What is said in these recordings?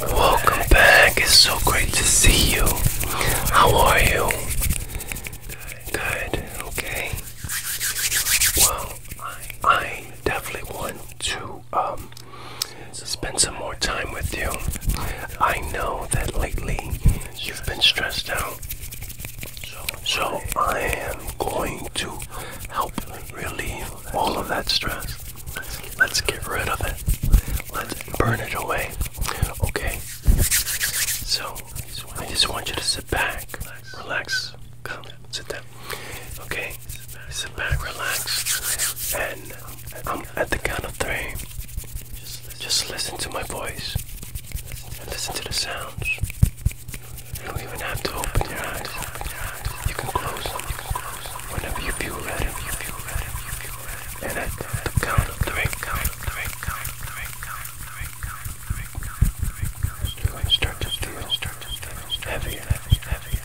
Welcome back. It's so great to see you. How are you? Good. Good. Okay. Well, I definitely want to um spend some more time with you. I know that lately you've been stressed out. So I am going to help relieve all of that stress. Let's get rid of it. Let's burn it away. Okay? So I just want you to sit back, relax. Come, sit down. Okay? Sit back, relax. And I'm at the count of three. Just listen to my voice and listen to the sounds. You don't even have to open your eyes. You can close them whenever you feel ready. And at count of three, count of three, count of three, count of three, count of three, count of three, count of three. Start to feel, start to feel heavier, heavier, heavier,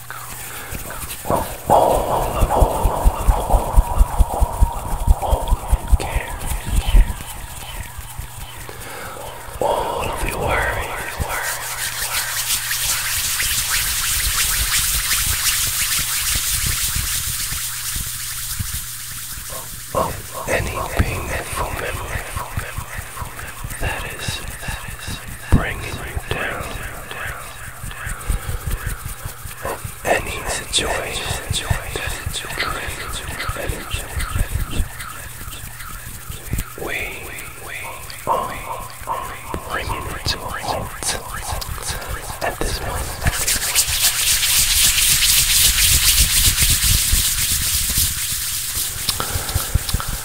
All of your worries. Of anything painful memory that is bringing you down any situation, we are bringing at this point.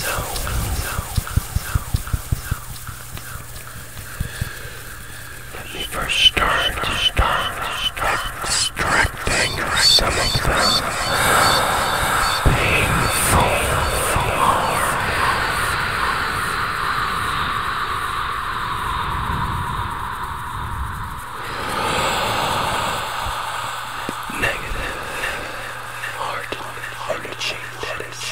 So, let me first start, start, start extracting some of the painful floor. Negative, negative, negative. hard, hard to change that is.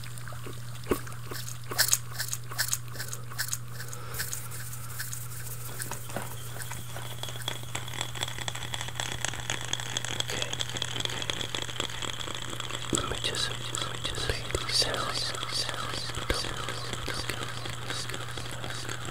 Let me just, let me just play these sounds, sounds, sounds, sounds, sounds, sounds, Okay. Okay.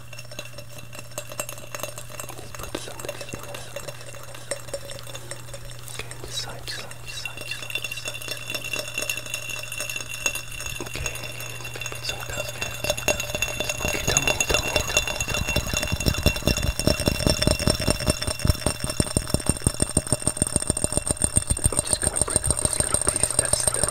Let's put some next one. Okay, this side, this side, this side, this side, this side. Okay, some dust cats. Okay, tell me, tell me, tell me, tell me, tell me, tell me, tell me. I'm just gonna break up this little piece that's still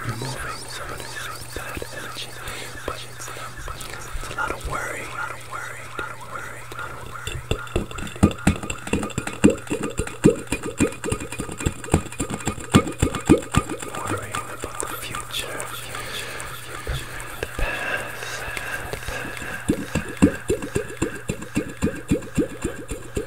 removing some of this bad energy. But it's a lot of worry, a lot of worry, a lot of worry, a lot of worry. Worrying about the future, future, future, the past, the past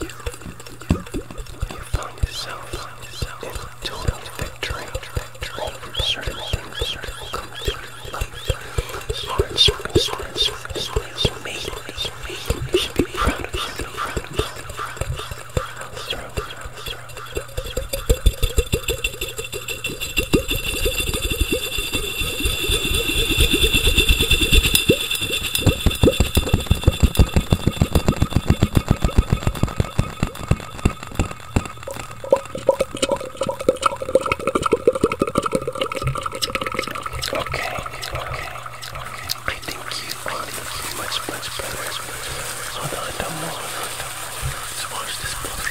you find yourself in total victory over certain things that will come through your life. Hard circumstances made you should be proud of you. Proud Okay, okay, okay. I think you are much, much better. Hold on, don't move. Let's watch this book.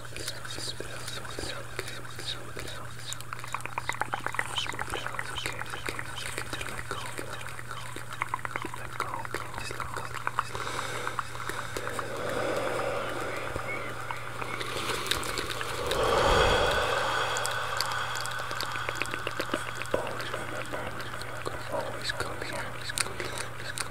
Always remember, always come here, always come here, always come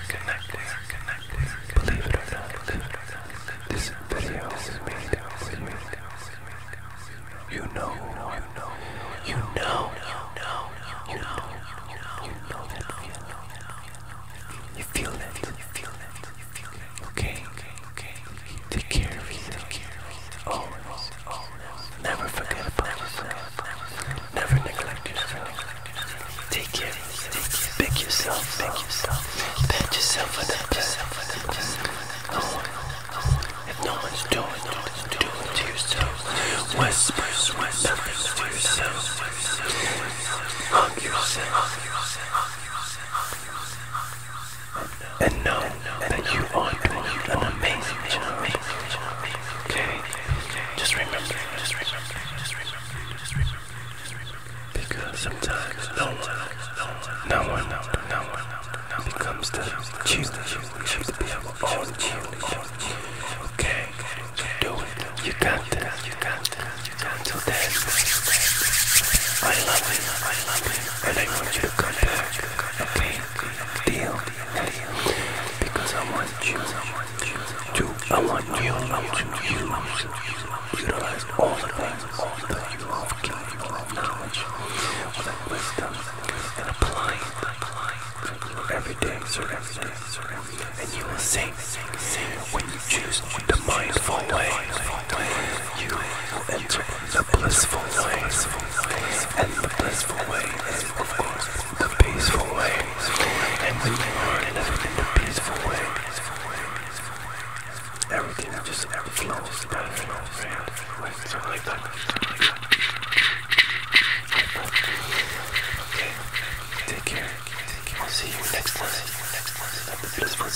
are connected. Believe it or not, this video is made for you. You know, you know, you know, you know, you know, you know that feeling. You feel that, you feel that, you feel that. Okay, okay, okay. Take care of you. Take care of you. Always, always. Never forget about yourself. Never neglect yourself. Take care of yourself. Pick yourself. Pick yourself. Pat yourself on the back. No one. If no one's doing it, no one's doing it to yourself. Whisper, whisper to yourself. Hug yourself. And know that you are doing an amazing job. Okay? Just remember, just remember, just remember, just remember, just remember. Because sometimes no one, no one, no one, no one becomes the choose, choose to be able to own you. Okay, do it. You got this. You got this. Until then, I love you. I love you. And I want you to come back. Okay deal because I want you to I want you I want you to utilize all the things that you have gained all that knowledge all that wisdom and apply it every day every day and you will sing when you choose the mindful way you will enter the blissful way and the blissful way is of course in peaceful way. And when you are living in peaceful way, everything just flows better. Right? Something like that. Okay. Take care. I'll see you next time the Blissful